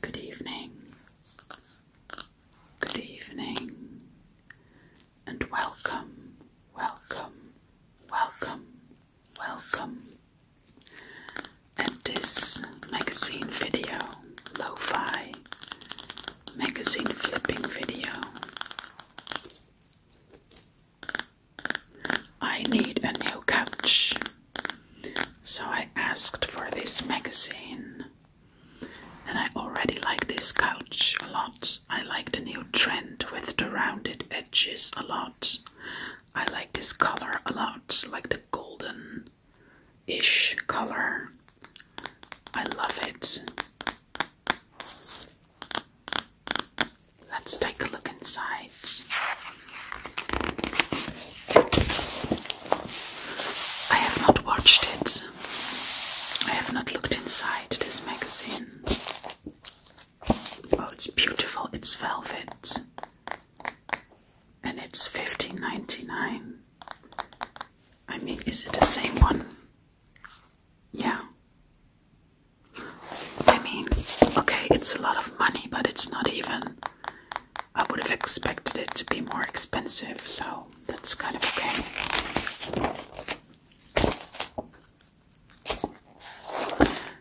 Good evening, good evening, and welcome, welcome, welcome, welcome. At this magazine video, lo fi magazine flipping video, I need a new couch. So I asked for this magazine. And I already like this couch a lot. I like the new trend with the rounded edges a lot. I like this color a lot, like the golden ish color. I love it. Let's take a look inside. I have not watched it. I have not looked inside this magazine. Oh, it's beautiful. It's velvet. And it's $15.99. I mean, is it the same one? Yeah. I mean, okay, it's a lot of money, but it's not even I would have expected it to be more expensive, so that's kind of okay.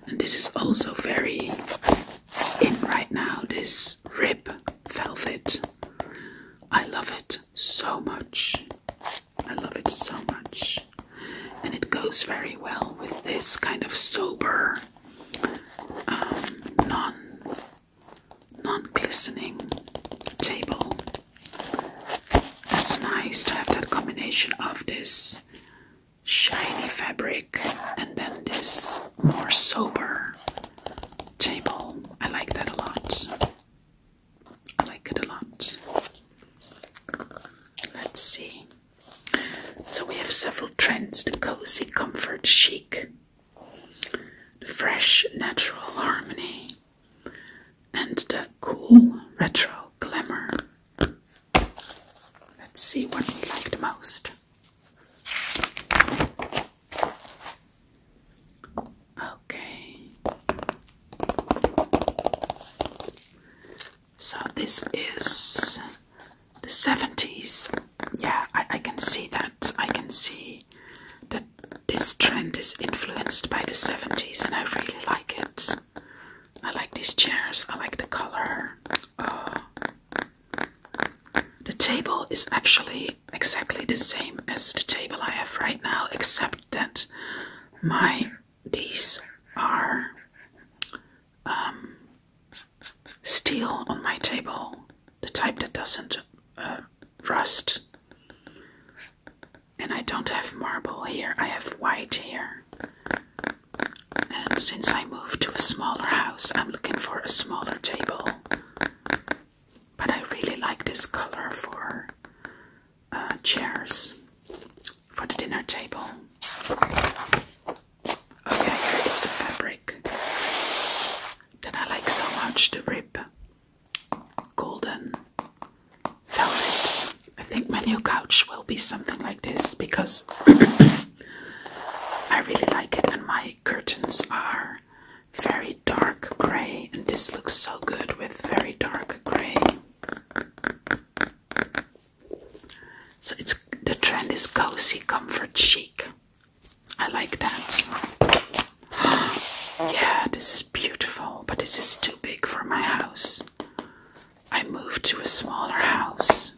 And this is also very in right now, this rib velvet. I love it so much. I love it so much. And it goes very well with this kind of sober, um, non non-glistening table. That's nice to have that combination of this shiny fabric and then this more sober table. I like that a lot. I like it a lot. Let's see. So we have several trends the cozy, comfort, chic, the fresh natural harmony, and the cool retro glamour. Let's see what we like the most. Okay. So this is the 70s yeah, I, can see that. I can see that this trend is influenced by the 70s, and I really like it. I like these chairs, I like the color. Uh, the table is actually exactly the same as the table I have right now, except that my these are um, steel on my table, the type that doesn't uh, rust. And I don't have marble here, I have white here. And since I moved to a smaller house, I'm looking for a smaller table. But I really like this color for uh, chairs for the dinner table. Okay, here is the fabric that I like so much the rib golden velvet. I think my new couch will be something like this because I really like it, and my curtains are very dark grey, and this looks so good with very dark grey. So it's the trend is cozy, comfort, chic. I like that. yeah, this is beautiful, but this is too big for my house. I moved to a smaller house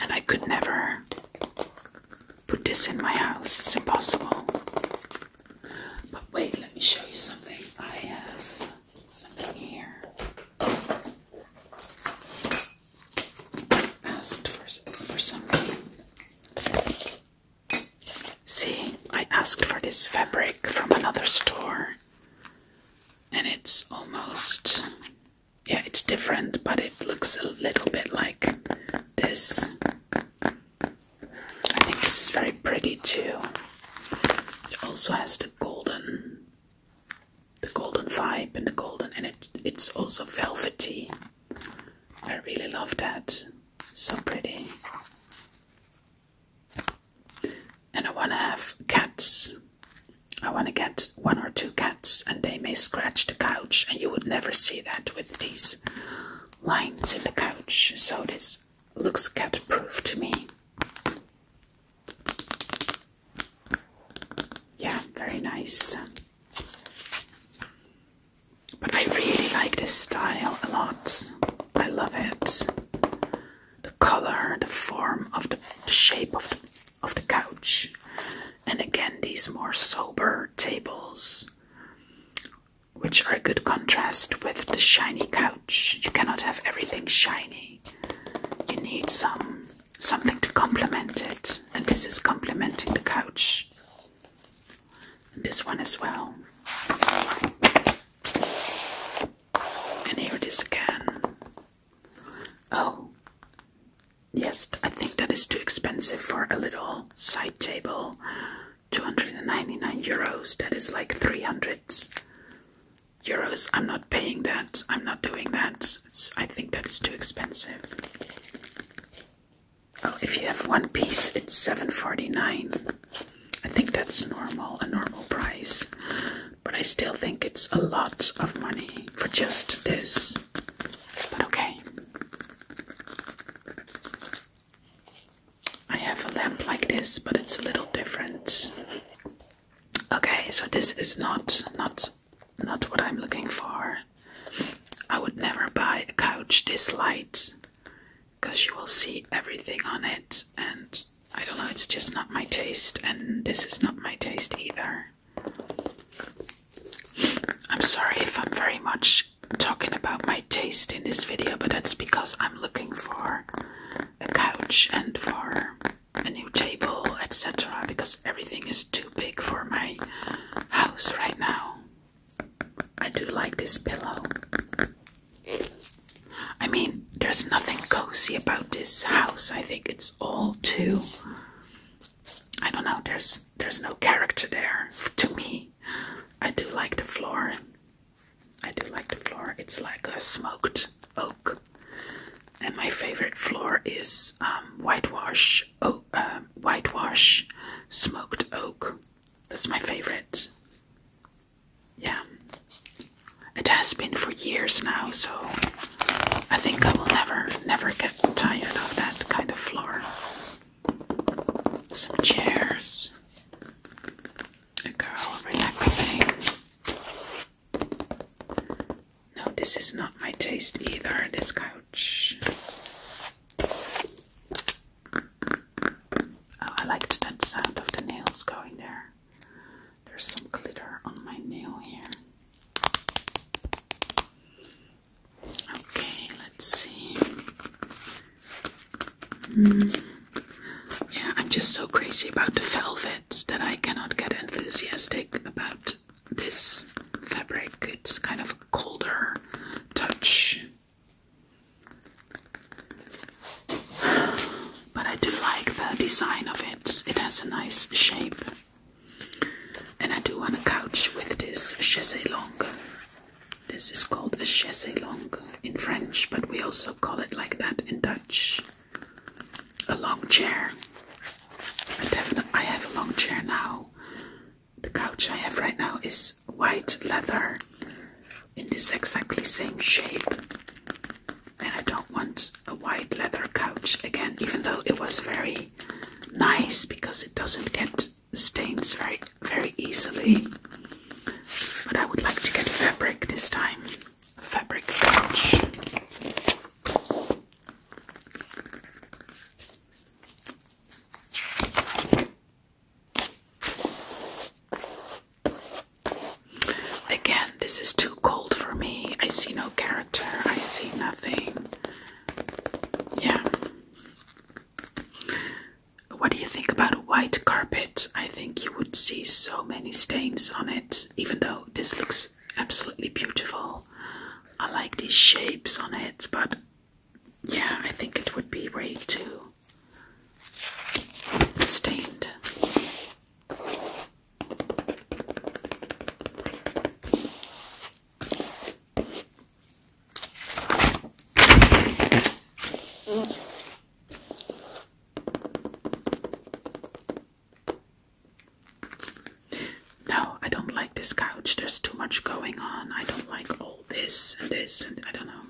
and I could never put this in my house. It's impossible. But wait, let me show you something. I have something here asked for, for See, I asked for this fabric from another store. And it's almost, yeah, it's different, but it looks a little bit like this. I think this is very pretty too. It also has the golden, the golden vibe and the golden, and it, it's also velvety. I really love that. so pretty. And I want to have cats. I want to get one or two cats, and they may scratch the couch, and you would never see that with these lines in the couch. So this looks cat-proof to me. Yeah, very nice. But I really like this style a lot. I love it. The color, the form of the, shape of the, of the couch. And again, these more sober tables, which are a good contrast with the shiny couch. You cannot have everything shiny. You need some something to complement it, and this is complementing the couch. And this one as well. And here it is again. Oh, yes, I think that is too expensive for a little side table. 299 euros, that is like 300 euros. I'm not paying that, I'm not doing that. I think that's too expensive. Oh, if you have one piece, it's seven forty nine. I think that's normal, a normal price. But I still think it's a lot of money for just this. But okay. I have a lamp like this, but it's a little different. Okay, so this is not not not what I'm looking for. I would never buy a couch this light because you will see everything on it, and I don't know, it's just not my taste, and this is not my taste either. I'm sorry if I'm very much talking about my taste in this video, but that's because I'm looking for a couch and for a new table, etc. Because everything is too big for my house right now. I do like this pillow. I mean, there's nothing cozy about this house. I think it's all too I don't know, there's there's no character there to me. I do like the floor. I do like the floor. It's like a smoked oak. And my favorite floor is um, whitewash Oh, whitewash smoked oak. That's my favorite. Yeah. It has been for years now, so I think I will never, never get tired of that kind of floor. Some chairs. A girl relaxing. No, this is not my taste either, this guy. Oh, I liked that sound of the nails going there. There's some glitter on my nail here. Okay, let's see. Hmm. Yeah, I'm just so crazy about the velvets that I cannot get enthusiastic about this fabric. It's kind of a colder touch. But I do like the design of it. It has a nice shape. And I do want a couch with this chaise longue. This is called a chaise longue in French, but we also call it like that in Dutch. A long chair. I have a long chair now, the couch I have right now is white leather in this exactly same shape. And I don't want a white leather couch again, even though it was very nice because it doesn't get stains very very easily. But I would like to get fabric this time. Fabric couch. Again, this is too cold for me. I see no character, I see nothing. Yeah. What do you think about a white carpet? I think you would see so many stains on it, even though this looks absolutely beautiful. I like these shapes on it, but yeah, I think it would be way to stained. No, I don't like this couch. There's too much going on. I don't like all this and this and I don't know.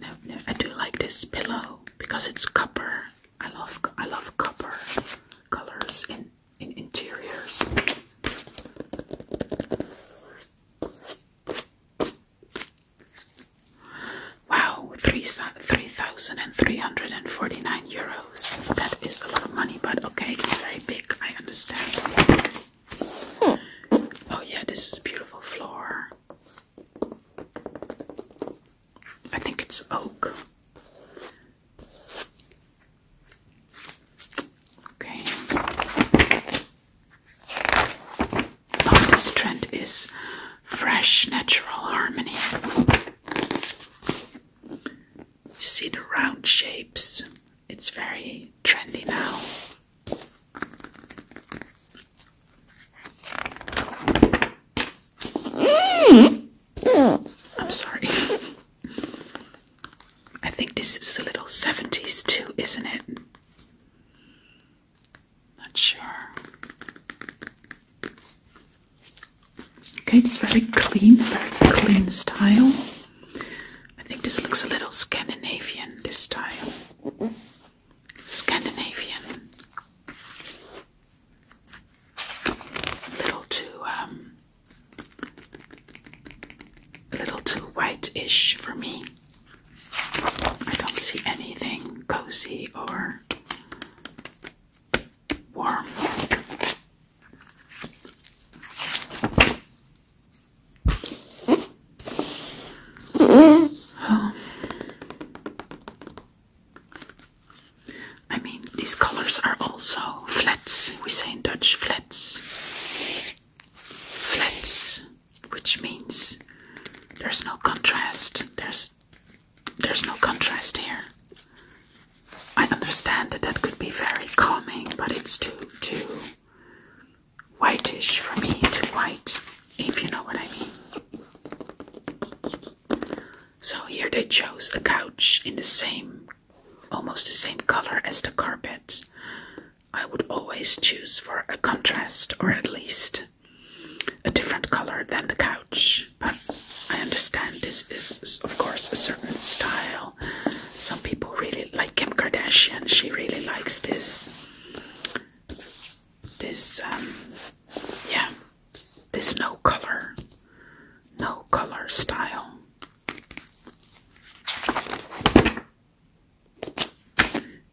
No, no. I do like this pillow because it's copper. I love I love copper colors in in interiors. Wow, three three thousand and three hundred and forty nine euros. It's a lot of money, but okay, it's very big, I understand. Oh, yeah, this is beautiful floor. I think it's oak. Okay. Oh, this trend is fresh, natural harmony. see the round shapes. It's very trendy now. I'm sorry. I think this is a little 70s too, isn't it? Not sure. Okay, it's very clean, very clean style. I think this looks a little Scandinavian, this time. Scandinavian. A little too, um, a little too white-ish for me. I don't see anything cozy or warm. I mean, these colors are also flats, we say in Dutch flats. Flats, which means there's no contrast. There's there's no contrast here. I understand that that could be very calming, but it's too too whitish for me, to white, if you know what I mean. So here they chose a couch in the same, almost the same color as the carpet. I would always choose for a contrast or at least a different color than the couch, but I understand this is, of course, a certain style. Some people really like Kim Kardashian. She really likes this this um, yeah this no color no color style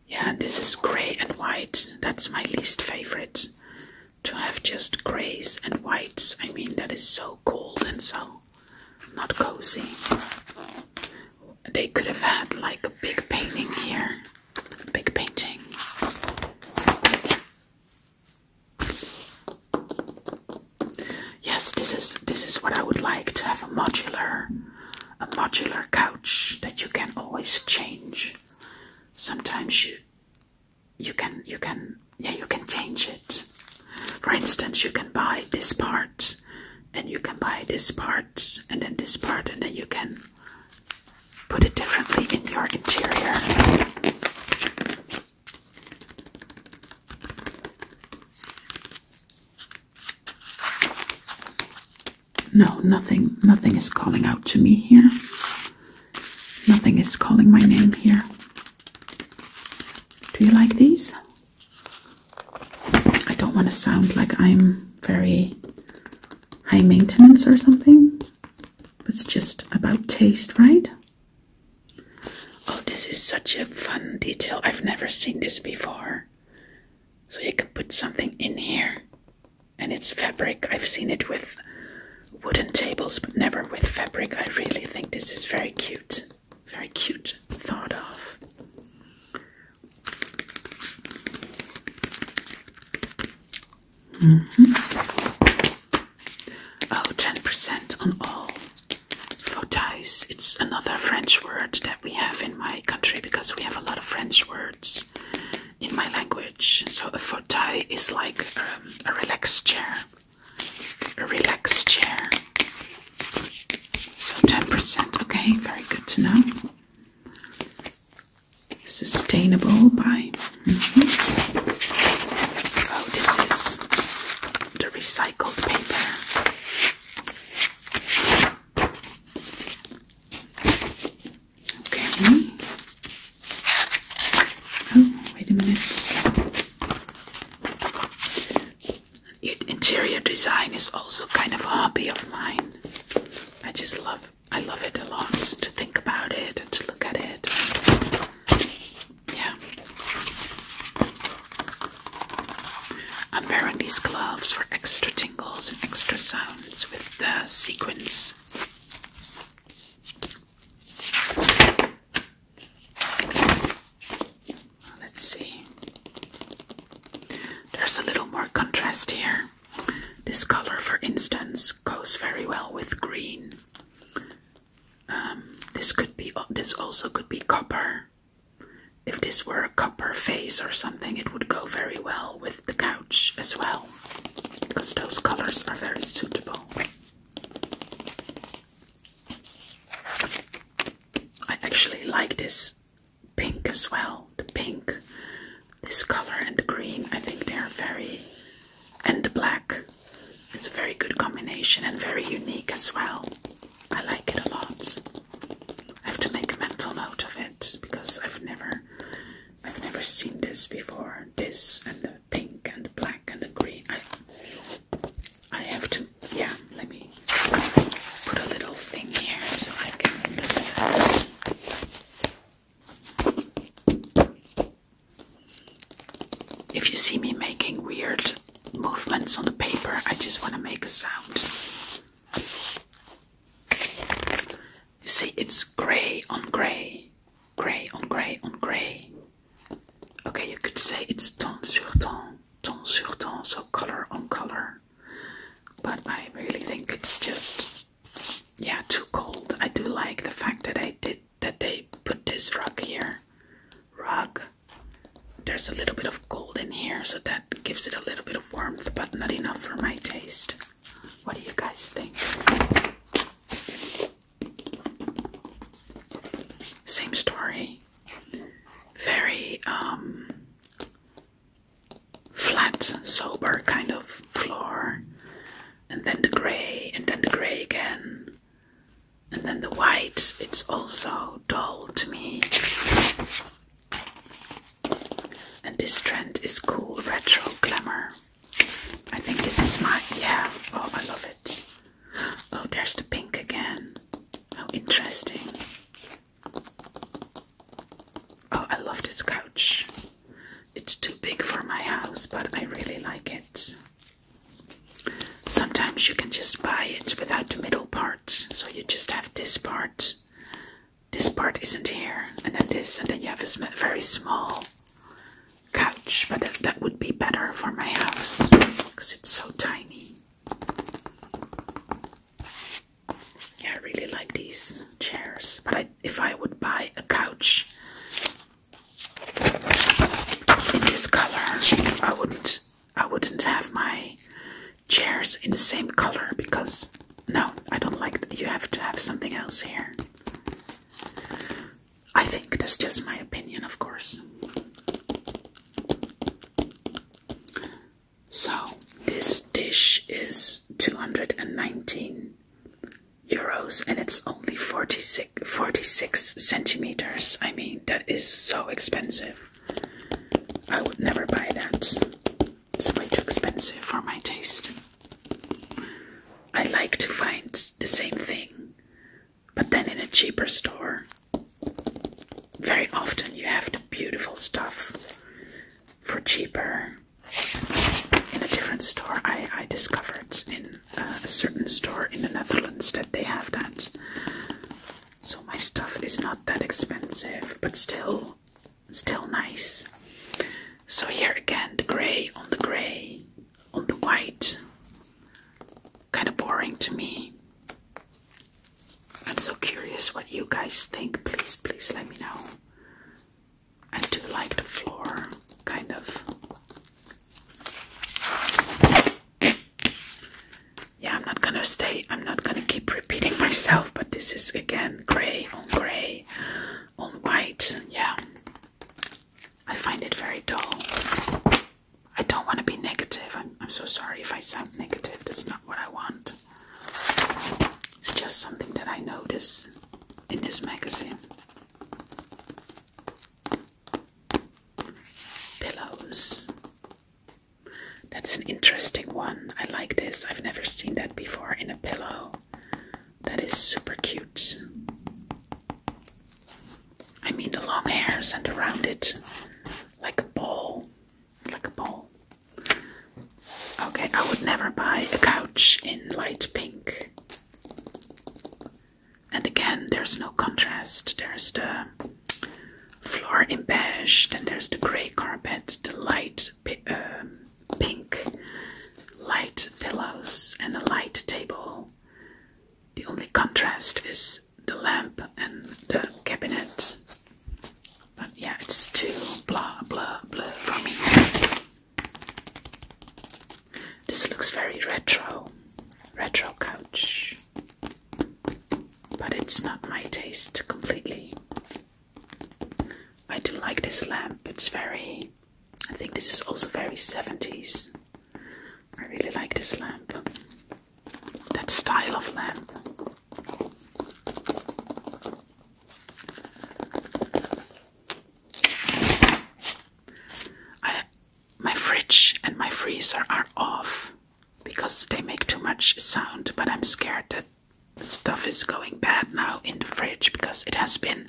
yeah this is gray and white that's my least favorite to have just grays and whites i mean that is so cold and so not cozy. They could have had like a big painting here, big painting. Yes, this is this is what I would like to have a modular, a modular couch that you can always change. Sometimes you, you can you can yeah you can change it. For instance, you can buy this part, and you can buy this part, and then this part, and then you can put it differently in your interior. No, nothing nothing is calling out to me here. Nothing is calling my name here. Do you like these? I don't want to sound like I'm very high maintenance or something. It's just about taste, right? Oh, this is such a fun detail. I've never seen this before. So you can put something in here. And it's fabric. I've seen it with wooden tables, but never with fabric. I really think this is very cute very cute thought of. Mm mm-hmm. 10% on all fotais. It's another French word that we have in my country because we have a lot of French words in my language. So a fotai is like um, a relaxed chair a relaxed chair. So 10%, okay, very good to know. Sustainable by. Mm-hmm. Oh, this is the recycled paper. Okay. Oh, wait a minute. Interior design is also kind of a hobby of mine. I just love I love it a lot to think about it and to look at it. Yeah. I'm wearing these gloves for extra tingles and extra sounds with the sequins. Let's see. There's a little more contrast here. This color, for instance, goes very well with green. Um, this could be. Uh, this also could be copper. If this were a copper vase or something, it would go very well with the couch as well, because those colors are very suitable. I actually like this pink as well. The pink, this color, and the green. I think they're very, and the black. It's a very good combination and very unique as well. I like it a lot. I have to make a mental note of it because I've never, I've never seen this before. This and the pink and the black and the green. I, I have to yeah, let me put a little thing here so I can If you see me making weird movements on the paper, I just want to make a sound. You see, it's grey on grey, grey on grey on grey. Okay, you could say it's ton sur ton, tons sur tons, so color on color. But I really think it's just, yeah, too cold. I do like the fact that I did that they put this rug here. Rug. There's a little bit of gold in here, so that gives it a little bit of warmth, but not enough for my taste. What do you guys think? Same story very um, flat, sober kind of floor, and then the grey, and then the grey again, and then the white. It's also dull to me. And this trend is cool retro glamour. I think this is my yeah. Oh, I love it. Oh, there's the pink again. How interesting. Oh, I love this couch. It's too big for my house, but I really like it. Sometimes you can just buy it without the middle part, so you just have this part. This part isn't here, and then this, and then you have a very small couch, but that would be better for my house because it's so tiny. I really like these chairs, but if I would buy a couch in this color, I wouldn't. I wouldn't have my chairs in the same color because no, I don't like. You have to have something else here. I think that's just my opinion, of course. So, this dish is 219 euros and it's only 46, centimeters. I mean, that is so expensive. I would never buy that. It's way too expensive for my taste. I like to find the same thing, but then in a cheaper store very often you have the beautiful stuff for cheaper in a different store. I, I discovered in uh, a certain store in the Netherlands that they have that. So my stuff is not that expensive, but still, still nice. So here again, the grey on the grey on the white kind of boring to me. I'm so curious what you guys think. Please, please let me know. I do like the floor, kind of. Yeah, I'm not gonna stay, I'm not gonna keep repeating myself, but this is again grey on grey on white. Yeah, I find it very dull. I don't want to be negative. I'm, so sorry if I sound negative. That's not what I want. It's just something that I notice in this magazine. Pillows. That's an interesting one. I like this. I've never seen that before in a pillow. That is super cute. I mean the long hairs and around it like a ball like a ball. Okay, I would never buy a couch in light pink. And again, there's no contrast. There's the floor in beige, then there's the grey carpet, the light um, pink, light pillows, and a light table. The only contrast is the lamp and the cabinet. But yeah, it's too blah blah blah for me. This looks very retro, retro couch. But it's not my taste completely. I do like this lamp, it's very. I think this is also very 70s. I really like this lamp that style of lamp. my fridge and my freezer are off because they make too much sound, but I'm scared that stuff is going bad now in the fridge because it has been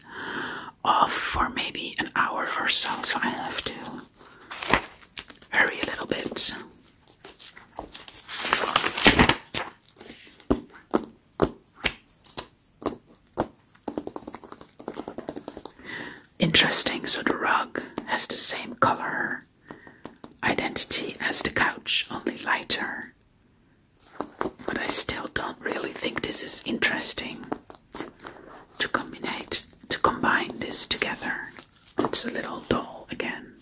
off for maybe an hour or so, so I have to hurry a little bit. Interesting, so the rug has the same color identity as the couch, only lighter. But I still don't really think this is interesting to combine to combine this together it's a little dull again.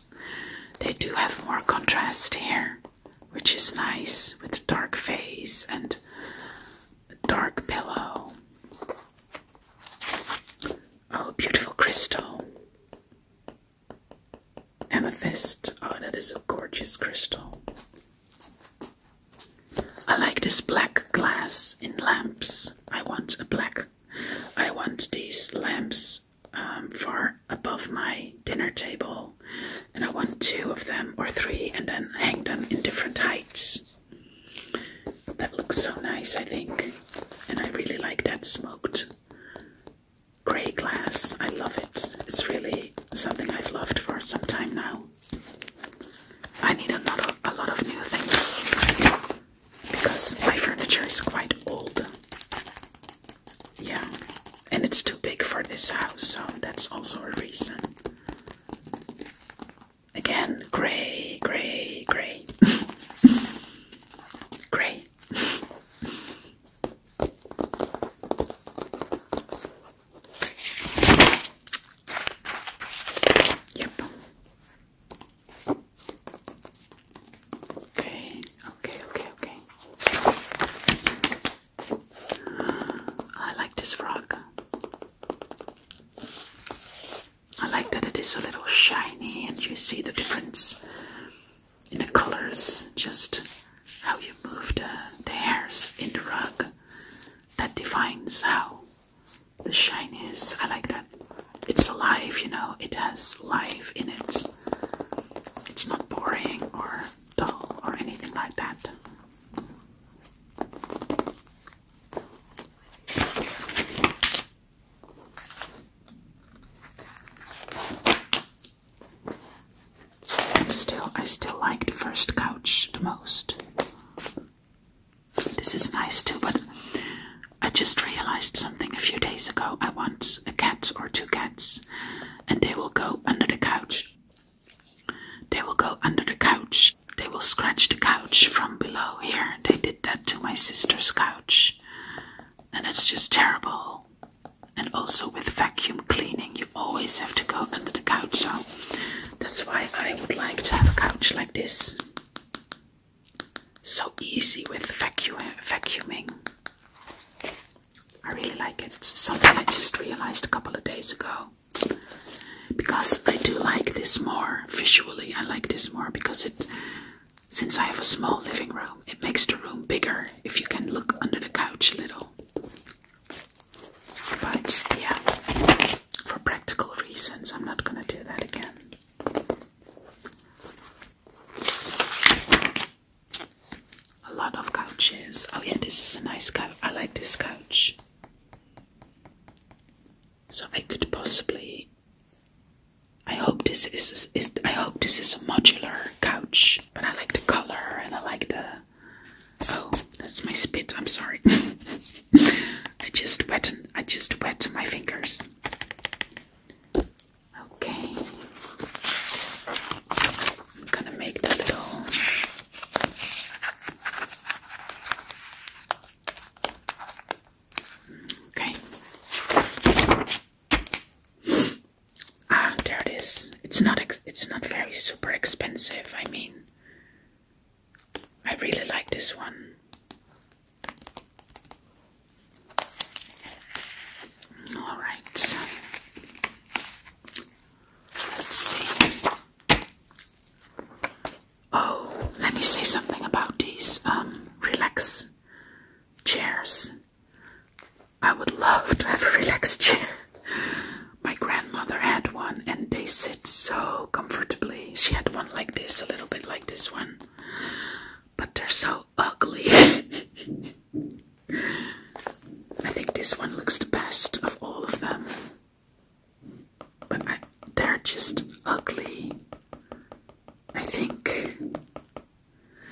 They do have more contrast here, which is nice with a dark face and a dark pillow. Oh, beautiful crystal. Amethyst. Oh, that is a gorgeous crystal. I like this black glass in lamps. I want a black I want these lamps um, far above my dinner table, and I want two of them or three, and then hang them in different heights. That looks so nice, I think, and I really like that smoked grey glass. I love it. It's really something I've loved for some time now. I need a a lot of new things because my furniture is quite old. Yeah, and it's too big for this house, so that's also a reason. Again, gray, gray, gray. gray. Yep. Okay, okay, okay, okay. I like this frog. I like that it is a little shiny and you see the difference in the colors, just how you move the, the hairs in the rug. That defines how the shine is. I like that it's alive, you know, it has life in it. It's not boring or dull or anything like that. still, I still like the first couch the most. This is nice too, but I just realized something a few days ago. I want a cat or two cats, and they will go under the couch. They will go under the couch. They will scratch the couch from below here. They did that to my sister's couch, and it's just terrible. And also, with vacuum cleaning, you always have to go under the couch, so that's why I would like to have a couch like this so easy with vacuuming. I really like it. something I just realized a couple of days ago. Because I do like this more visually. I like this more because it since I have a small living room, it makes the room bigger if you can look under the couch a little. But yeah, for practical reasons, I'm not gonna do that again. A lot of couches. Oh, yeah, this is a nice couch. I like this couch. So I could possibly. I hope this is, I hope this is a modular couch, but I like the color and I like the. Oh, that's my spit. I'm sorry. I just wet I just wet my fingers. Okay. gonna make the little Okay. Ah, there it is. It's not ex it's not very super expensive. I mean, I really like this one. All right. Let's see. Oh, let me say something about these um relax chairs. I would love to have a relaxed chair. My grandmother had one and they sit so comfortably. She had one like this, a little bit like this one. But they're so ugly. I think this one looks the best of all of them. But they're just ugly. I think.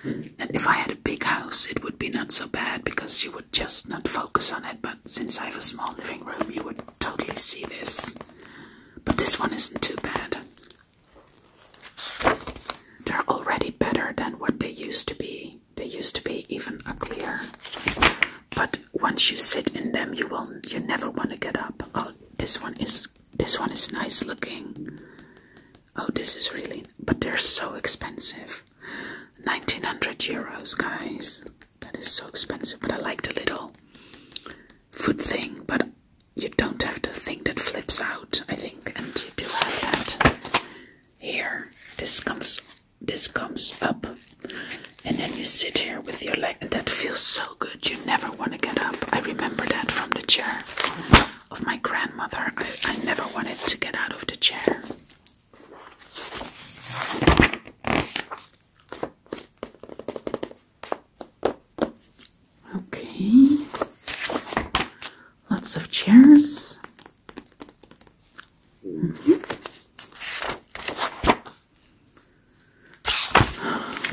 And if I had a big house, it would be not so bad because you would just not focus on it. But since I have a small living room, you would totally see this. But this one isn't too bad. They're already better than what they used to be. They used to be even uglier. But once you sit in them, you will you never want to get up. Oh, this one is this one is nice looking. Oh, this is really but they're so expensive. 1900 euros, guys. That is so expensive, but I liked a little food thing, but you don't have the thing that flips out, I think, and you do have that here. This comes this comes up and then you sit here with your leg and that feels so good. You never want to get up. I remember that from the chair of my grandmother. I, I never wanted to get out of the chair. Okay. Lots of chairs. Mm-hmm.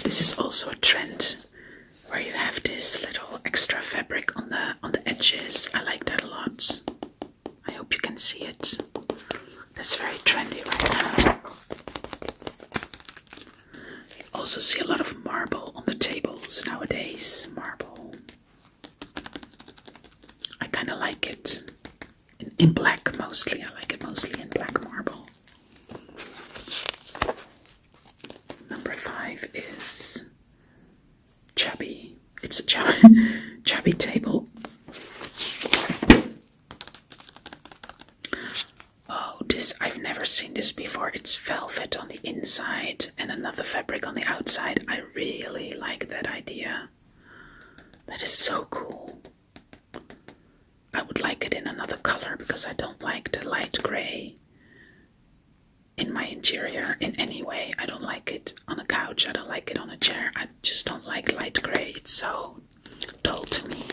This is also a trend where you have this little extra fabric on the on the edges. I like that a lot. I hope you can see it. That's very trendy right now. You also see a lot of marble on the tables nowadays. Marble. I kind of like it. In, black mostly. I like it mostly in black marble. Number five is chubby. It's a chubby table. Oh, this I've never seen this before. It's velvet on the inside and another fabric on the outside. I really like that idea. That is so cool. I would like it in another color because I don't like the light gray in my interior in any way. I don't like it on a couch, I don't like it on a chair. I just don't like light gray. It's so dull to me.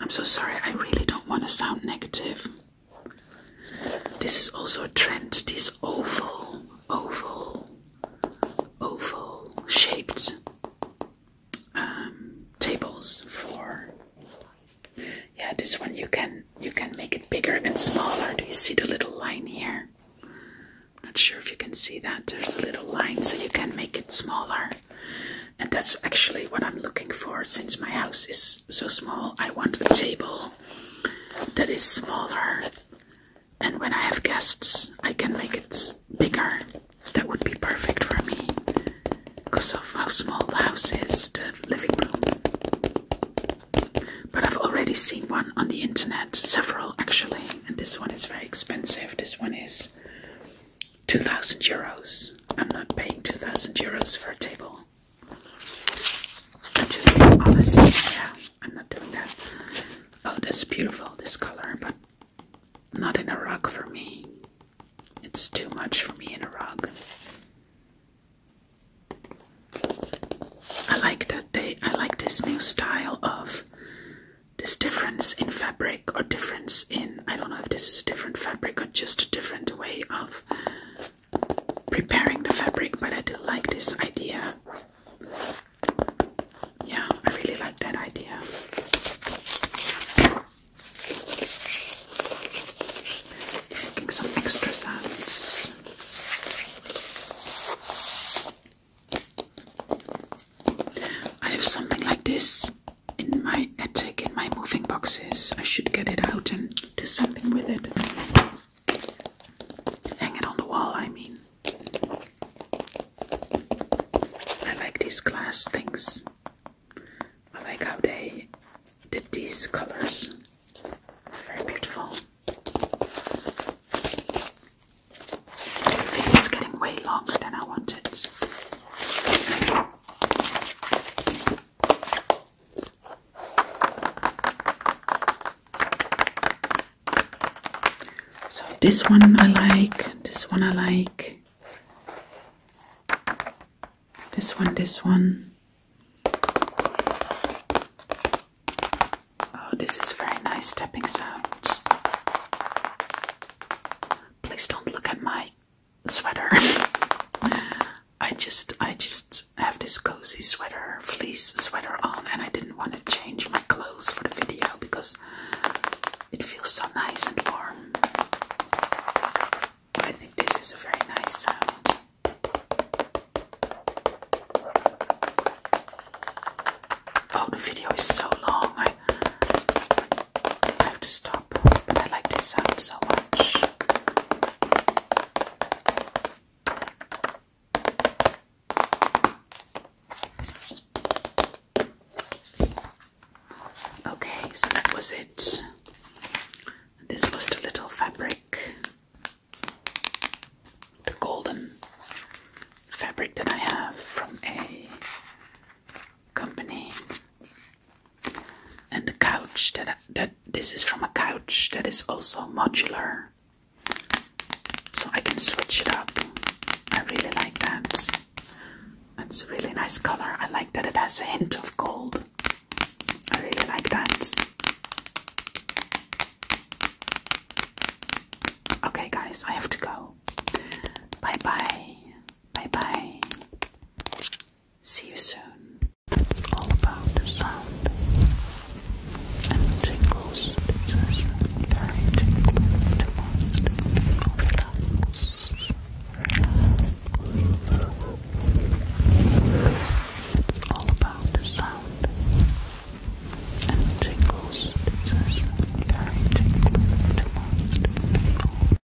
I'm so sorry, I really don't want to sound negative. This is also a trend, these oval, oval, oval shaped um, tables for yeah this one you can you can make it bigger and smaller. Do you see the little line here? I'm not sure if you can see that. There's a little line so you can make it smaller and that's actually what I'm looking for since my house is so small. I want a table that is smaller, and when I have guests, I can make it bigger. That would be perfect for me because of how small the house is, the living room. But I've already seen one on the internet, several actually, and this one is very expensive. This one is 2,000 euros. I'm not paying 2,000 euros for a table. I'm just being honest. Yeah, I'm not doing that. Oh, that's beautiful, this color, but not in a rug for me. It's too much for me in a rug. I like that they I like this new style of this difference in fabric or difference in i don't know if this is a different fabric or just a different way of preparing the fabric but i do like this idea yeah i really like that idea making some extra sounds I have something like this in my attic in my moving boxes. I should get it out and do something with it. Hang it on the wall, I mean. I like these glass things. I like how they did these colors. Very beautiful. The video is getting way longer than I wanted. So this one I like, this one I like, this one, this one. Oh, this is very nice stepping sound. Please don't look at my sweater. I just I just have this cozy sweater, fleece sweater on, and I didn't want to change my clothes for the video because it feels so nice and warm. I think this is a very nice Oh, the video is so long. I have to stop, but I like this sound so much. Okay, so that was it. This was the little fabric, the golden fabric that I have from a company and the couch that that this is from a couch that is also modular so I can switch it up. I really like that. It's a really nice color. I like that it has a hint of gold. I really like that. Okay, guys, I have to go. Bye bye. Bye bye. See you soon. All about the sound and tingles. This is very tingly to most people. Relax. Relax. It's all about the sound and tingles. This is very tingly to most people.